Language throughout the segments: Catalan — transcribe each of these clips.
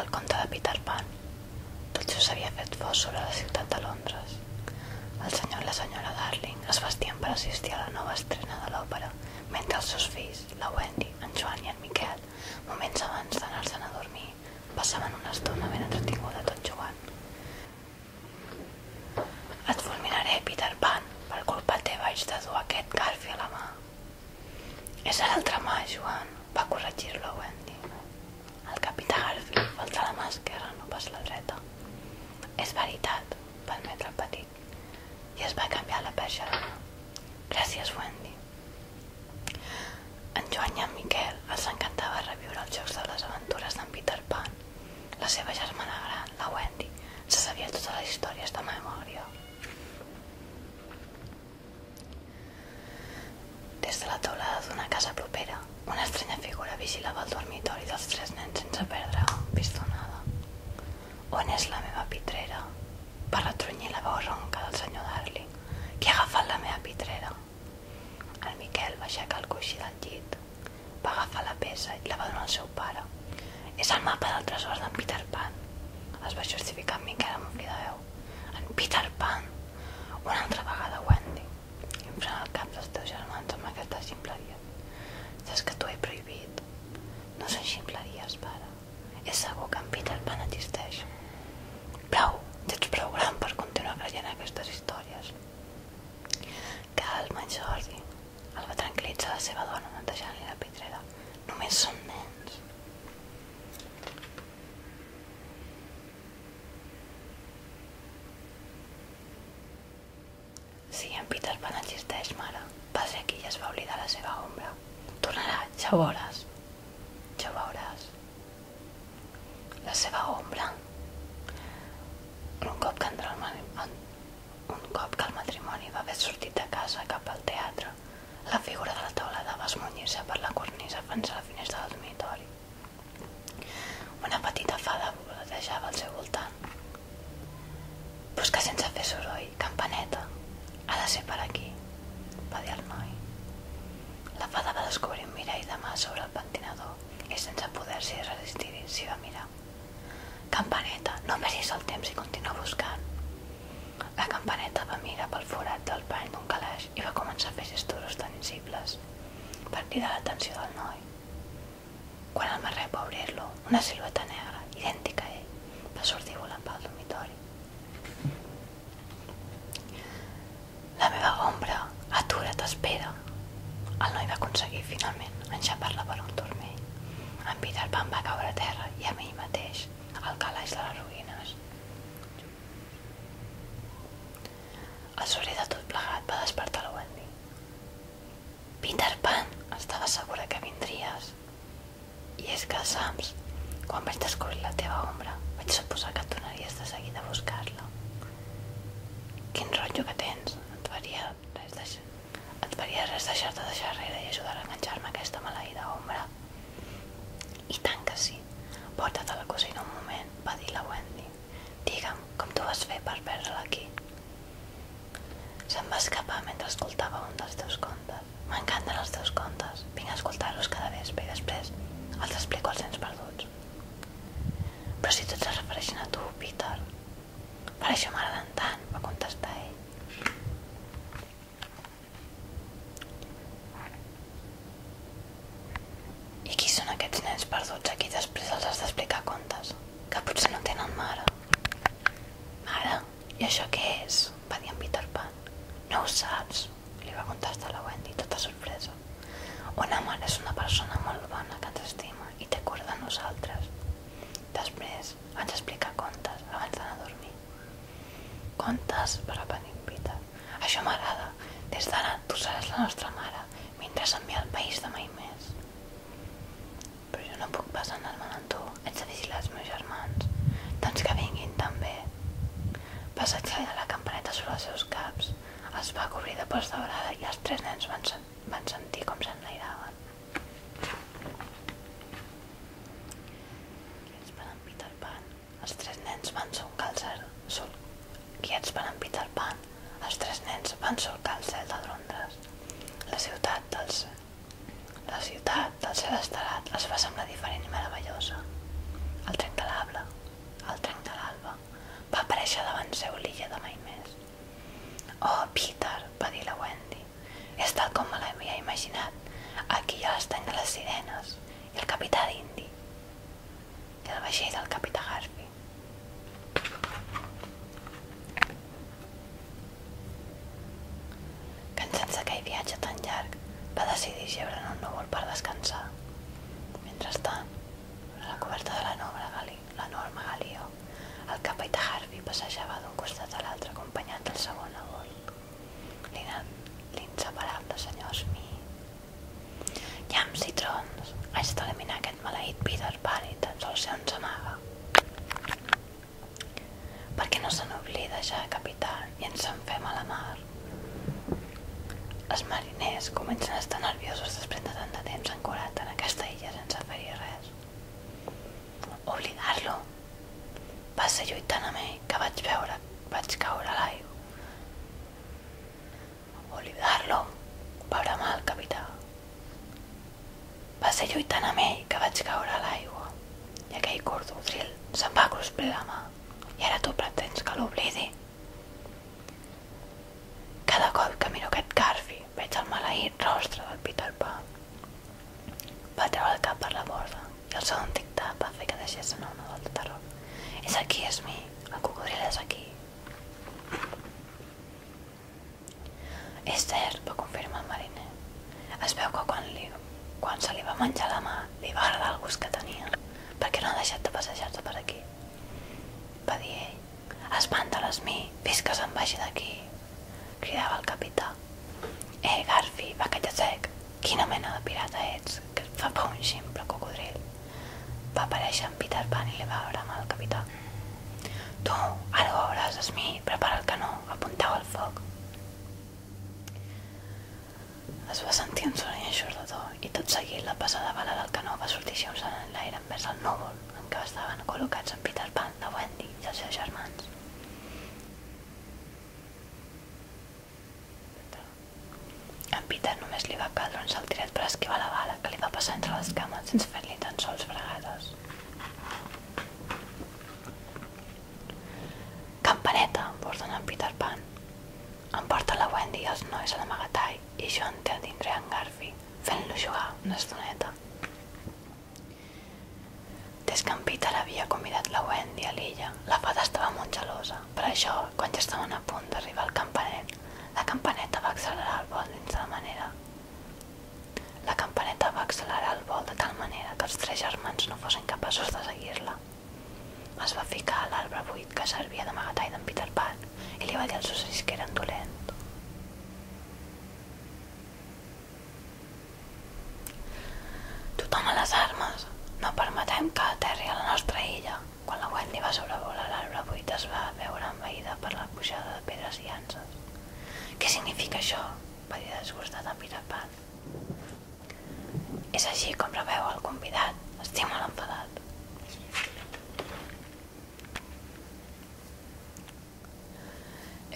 El conte de Peter Pan. Tot just s'havia fet fosc sobre la ciutat de Londres. El senyor i la senyora Darling es vestien per assistir a la nova estrena de l'òpera, mentre els seus fills, la Wendy, en Joan i en Miquel, moments abans d'anar-se'n a dormir, passaven una estona ben entretinguda tot jugant. Et fulminaré, Peter Pan, per culpa teva haig de dur aquest garfi a la mà. És l'altre mà, Joan, va corregir-lo Wendy. El capità Garfield va alçar la mà esquerra, no pas la dreta. És veritat, va admetre el petit, i es va canviar la perxa de mà. Gràcies, Wendy. En Joan i en Miquel els encantava reviure els jocs de les aventures d'en Peter Pan. La seva germana gran, la Wendy, se sabia totes les històries de memòria. Des de la teulada d'una casa propera, una estranya figura vigilava el dormitori dels tres nens sense perdre pistonada. On és la meva pitrera? Va retrunyir la veu ronca del senyor Darling. Qui ha agafat la meva pitrera? El Miquel va aixecar el coixí del llit, va agafar la peça i la va donar al seu pare. És el mapa del tresor d'en Peter Pan, es va justificar amb Miquel amb un cridaveu. En Peter Pan! Una altra vegada, Wendy. Inflant el cap dels teus germans amb aquesta ximpleria. Saps que t'ho he prohibit? No són ximpleries, pare. És segur que en Peter Pan existeix. Prou! Ja ets prou gran per continuar creient aquestes històries. Calma, Jordi. El va tranquil·litzar la seva dona netejant-li la pitrera. Només són nens. Si en Peter Pan existeix, mare, va ser aquí i es va oblidar la seva ombra. Tornarà, ja ho veuràs. Ja ho veuràs. La seva ombra. Un cop que entrà un cop que el matrimoni va haver sortit de casa cap al teatre, vidre. La figura de la taulada va esmunyir-se per la cornisa fins a la finestra del dormitori. Una petita fada voletejava al seu voltant. Busca sense fer soroll, campaneta. Ha de ser per aquí, va dir el noi. La fada va descobrir un mirall de mà sobre el pentinador i sense poder-s'hi resistir s'hi va mirar. Campaneta, no perdis el temps i continua buscant. La campaneta va mirar pel forat del pany d'un calaix i va començar a fer gestos tangibles per cridar l'atenció del noi. Quan el marrep va obrir-lo, una silueta negra, idèntica a ell, va sortir volant pel dormitori. La meva ombra, atura, t'espera. El noi va aconseguir, finalment, enxapar-la per un turmell. En Peter Pan va caure a terra i a amb ell mateix, al calaix de les ruïnes. El soroll de tot plegat va despertar la Wendy. Peter Pan, estava segura que vindries. I és que, saps, quan vaig descobrir la teva ombra, vaig suposar que et donaries de seguida a buscar-la. Quin rotllo que tens, et faria res deixar... et faria res deixar-te deixar rere i ajudar a enganxar-me aquesta maleïda ombra. I tant que sí. Porta't a la cosina un moment, va dir la Wendy. Digue'm com tu vas fer per perdre-la aquí. Se'm va escapar mentre escoltava un dels teus contes. M'encanten els teus contes. Vinc a escoltar-los cada vespre i després els explico als nens perduts. Però si tots es refereixen a tu, Peter, per això m'agraden tant, va contestar ell. I qui són aquests nens perduts a qui després els has d'explicar contes? Que potser no tenen mare. Mare, i això què és? Va dir en Peter Pan. No ho saps, li va contestar la Wendy, tota sorpresa. Una mare és una persona molt bona que ens estima i té cura de nosaltres. Després, més. Ens explica contes abans d'anar a dormir. Contes per a Panimpita. Això m'agrada. Des d'ara tu seràs la nostra mare mentre s'envia al país de mai més. Però jo no puc pas anar-me'n amb tu. Haig de vigilar els meus germans. Doncs que vinguin també. Passeig a la campaneta sobre els seus caps. es va cobrir de pols daurada i els tres nens van, sen van sentir com s'enlairaven. Quiets per en Peter Pan. Els tres nens van solcar el cel... Sol... Quiets per en Pan. Els tres nens van solcar el cel de Londres. La ciutat dels... La ciutat del cel es va semblar diferent meravellosa. El trenc de l'alba, el trenc de l'alba, va aparèixer davant seu l'illa de mai més. Oh, Peter, va dir la Wendy, és tal com me l'havia imaginat. Aquí hi ha l'estany de les sirenes i el capità d'Indi i el vaixell del capità Garfi. Cansats d'aquell viatge tan llarg, va decidir geure en un núvol per descansar. Mentrestant, a la coberta de la la galí, norma Galió, el capità Harvey passejava d'un costat a l'altre acompanyat del segon a bord. L'inseparable senyor Smith. Llams i trons! Haig d'eliminar aquest maleït Peter Pan i tan sols se ens amaga. Per què no se n'oblida ja, capità, i ens en fem a la mar? Els mariners comencen a estar nerviosos després de tant de temps ancorat en aquesta illa sense fer-hi res. Oblidar-lo. Va ser lluitant amb ell que vaig veure, vaig caure a l'aigua. Oblidar-lo, va bramar el capità. Va ser lluitant amb ell que vaig caure a l'aigua i aquell cordodril se'm va crusplir la mà i ara tu pretens que l'oblidi? Cada cop que miro aquest Garfi Veig el maleït rostre del Peter Pan. Va treure el cap per la borda i el segon tic-tac va fer que deixés anar una volta de terror. És aquí, és mi. El cocodril és aquí. És cert, va confirmar el mariner. Es veu que quan, li, quan se li va menjar la mà li va agradar el gust que tenia. Per què no ha deixat de passejar-se per aquí? Va dir ell. Espanta-les mi, fins que se'n vagi d'aquí, cridava el capità. Eh, Garfi, va que ja sec, quina mena de pirata ets, que et fa por un ximple cocodril. Va aparèixer en Peter Pan i li va bramar el capità. Tu, ara ho veuràs, Smee, prepara el canó, apunteu al foc. Es va sentir un soroll eixordador i tot seguit la passada bala del canó va sortir xiulant en l'aire envers el núvol en què estaven col·locats en Peter Pan, la Wendy i els seus germans. En Peter només li va caldre un saltiret per esquivar la bala que li va passar entre les cames sense fer-li tan sols fregades. Campaneta, ordena en Peter Pan. porta la Wendy i els nois a l'amagatall i jo en té a dintre en Garfi fent-lo jugar una estoneta. Des que en Peter havia convidat la Wendy a l'illa, la fada estava molt gelosa. Per això, quan ja estaven a punt d'arribar al campanet, la campaneta va accelerar el vol dins de la manera. La campaneta va accelerar el vol de tal manera que els tres germans no fossin capaços de seguir-la. Es va ficar a l'arbre buit que servia d'amagatall d'en Peter Pan i li va dir als ocells que eren dolent. Tothom a les armes. No permetem que aterri a la nostra illa. Quan la Wendy va sobrevolar l'arbre buit es va veure envaïda per la pujada de pedres i llances. Què significa això? va dir desgustat en Peter Pan. És així com preveu el convidat. Estima l'enfadat.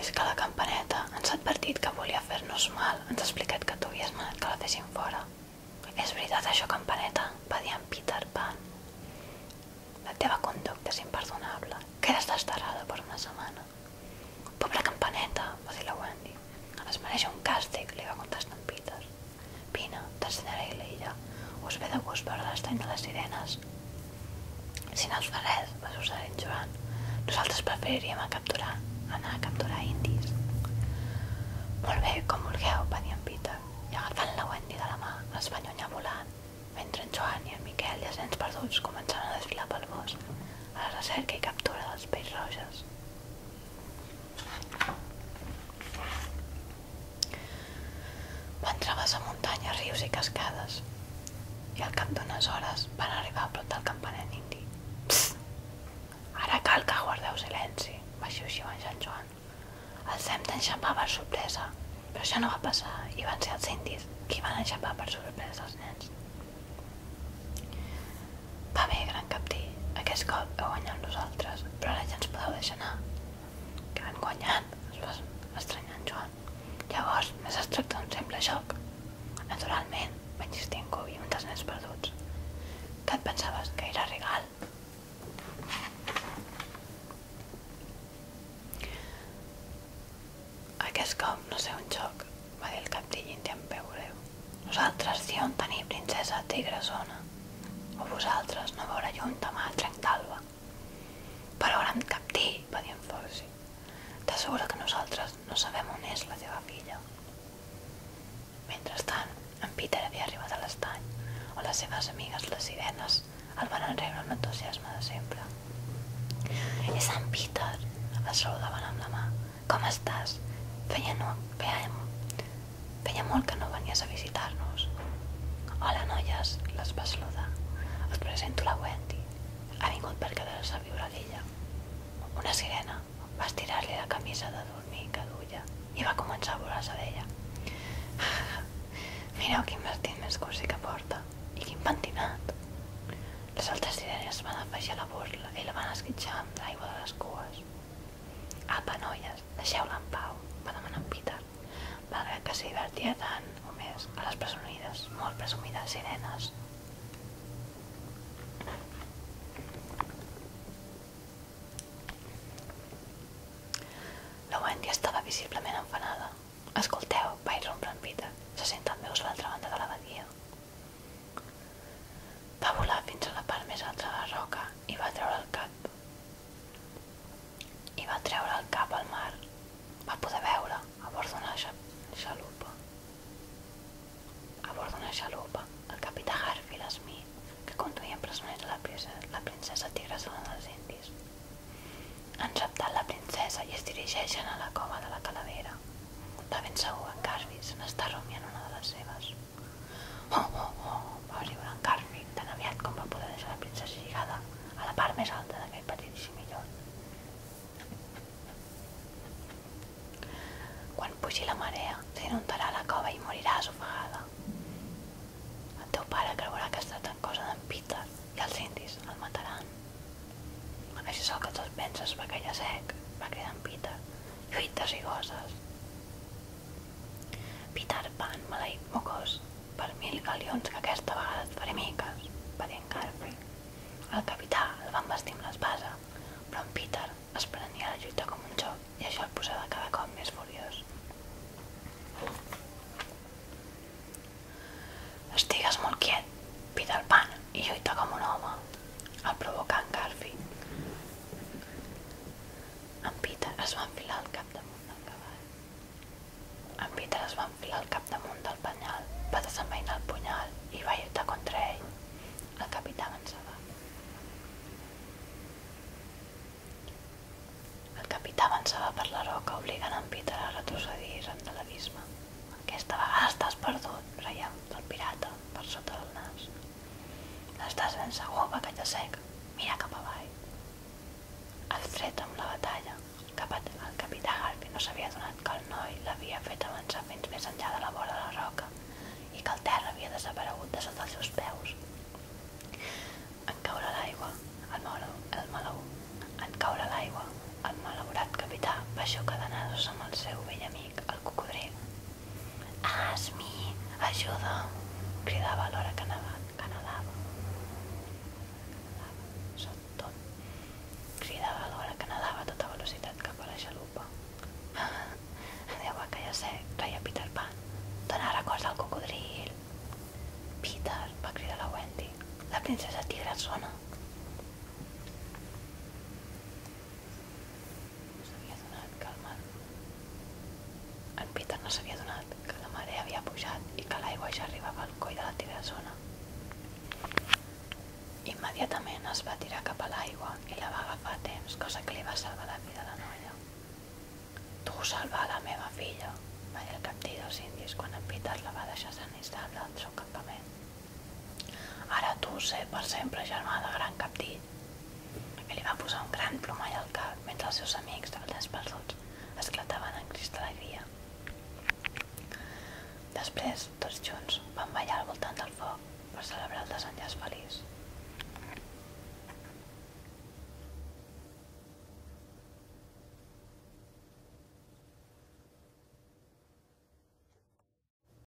És que la campaneta ens ha advertit que volia fer-nos mal. Ens ha explicat que tu havies manat que la fessin fora. És veritat això, campaneta? Va dir en Peter Pan. La teva conducta és imperdonable. Quedes desterrada per una setmana. Pobra campaneta, va dir la Wendy. Es mereix un càstig, li va contestar en Peter. Vine, t'ensenyaré l'illa. Us ve de gust veure l'estany de les sirenes. Si no us fa res, va sussar en Joan. Nosaltres preferiríem a capturar, anar a capturar indis. Molt bé, com vulgueu, va dir en Peter. I agafant la Wendy de la mà, es va allunyar volant, mentre en Joan i en Miquel, gens perduts, començaven a desfilar pel bosc, a la recerca i captura dels peix roges. Van travessar muntanyes, rius i cascades i al cap d'unes hores van arribar a prop del campanet indi. Psst! Ara cal que guardeu silenci, va xiuxiu en Sant Joan. Els hem d'enxapar per sorpresa, però això no va passar i van ser els indis qui van enxapar per sorpresa els nens. Va bé, gran captí, aquest cop heu guanyat nosaltres, però ara ja ens podeu deixar anar que van guanyant, Joan. Llavors, més es tracta d'un simple joc. Naturalment, vaig instir en Cubi, un pensaves que era regal? Aquest cop no sé un joc, va dir el capdillint en Nosaltres sí on tenir princesa tigresona. O vosaltres, no veure llum demà al trenc d'alba. Però ara em captí, va dir en Foxy. T'asseguro que nosaltres no sabem on és la teva filla. Mentrestant, en Peter havia arribat a l'estany, on les seves amigues, les sirenes, el van rebre amb l'entusiasme de sempre. És en Peter! El saludaven amb la mà. Com estàs? Feia no... Feia... Feia molt que no venies a visitar-nos. Hola, noies, les va saludar. Us presento la Wendy. Ha vingut per quedar-se a viure a l'illa. Una sirena va estirar-li la camisa de dormir que duia i va començar a volar-se d'ella. Mireu quin vestit més cursi que porta i quin pentinat. Les altres sirenes van afegir la burla i la van esquitxar amb l'aigua de les cues. Apa, ah, noies, deixeu-la en pau, va demanar en Peter, malgrat que s'hi divertia tant o més a les presumides, molt presumides sirenes. La Wendy estava visiblement enfanada. Escolteu, va irrompre en Peter, se senten veus a l'altra banda de la badia. Va volar fins a la part més alta de la roca i va treure el cap. I va treure el cap al mar. Va poder veure a bord d'una xa xalupa. A bord d'una xalupa, el capità Harfield Smith, que conduïa presoners a la, princesa, la princesa Tigresa dels Indis. Han raptat la princesa i es dirigeixen a la cova de la calavera. De ben segur en Carvis n'està rumiant una de les seves. Oh, oh, oh, va riure en Carmi tan aviat com va poder deixar la princesa lligada a la part més alta d'aquell petitíssim millor. Quan pugi la marea, t'inundarà la cova i moriràs ofegada. El teu pare creurà que ha estat en cosa d'en Peter i els indis el mataran. Això és el que tu et penses, va callar sec, va cridar en Peter. Lluites i goses, Peter Pan, maleït mocós, per mil galions que aquesta vegada et faré miques, va dir en Garfi. El capità el van vestir amb l'espasa, però en Peter es prenia la lluita com un joc i això el posava cada cop més furiós. Estigues molt quiet, Peter Pan, i lluita com un home, el provocà en Garfi. En Peter es va enfilar al capdamunt del cavall. En Peter es va enfilar al capdamunt del penyal, va desenvainar el punyal i va lluitar contra ell. El capità avançava. El capità avançava per la roca, obligant en Peter a retrocedir ran de l'abisme. Aquesta vegada estàs perdut, reia el pirata, per sota del nas. Estàs ben segur, bacallà sec? Mira cap avall. El fred amb la batalla. Cap el capità Garfi no s'havia donat que el noi l'havia fet avançar fins més enllà de la vora de la roca i que el terra havia desaparegut de sota els seus peus. En caure l'aigua, el, malo, el malau. en caure l'aigua, el malaurat capità va xocar de nasos amb el seu vell amic, el cocodril, Asmi, ajuda! Cridava alhora que anava, que nedava. Sota tot. Cridava alhora que a tota velocitat cap a la xalupa. Déu va callar sec, reia Peter Pan. Dóna records al cocodril. Peter, va cridar la Wendy. La princesa tigra sona. S'havia adonat que el mar... En Peter no s'havia adonat que la marea havia pujat i que l'aigua ja arribava al coll de la tirasona. Immediatament es va tirar cap a l'aigua i la va agafar a temps, cosa que li va salvar la vida a la noia. Tu salvar la meva filla, va dir el captí dels indis quan en Peter la va deixar sent estable al seu campament. Ara tu sé per sempre germà de gran capdit. I li va posar un gran plomall al cap mentre els seus amics, els desperduts, esclataven en crist alegria. Després, tots junts, van ballar al voltant del foc per celebrar el desenllaç feliç.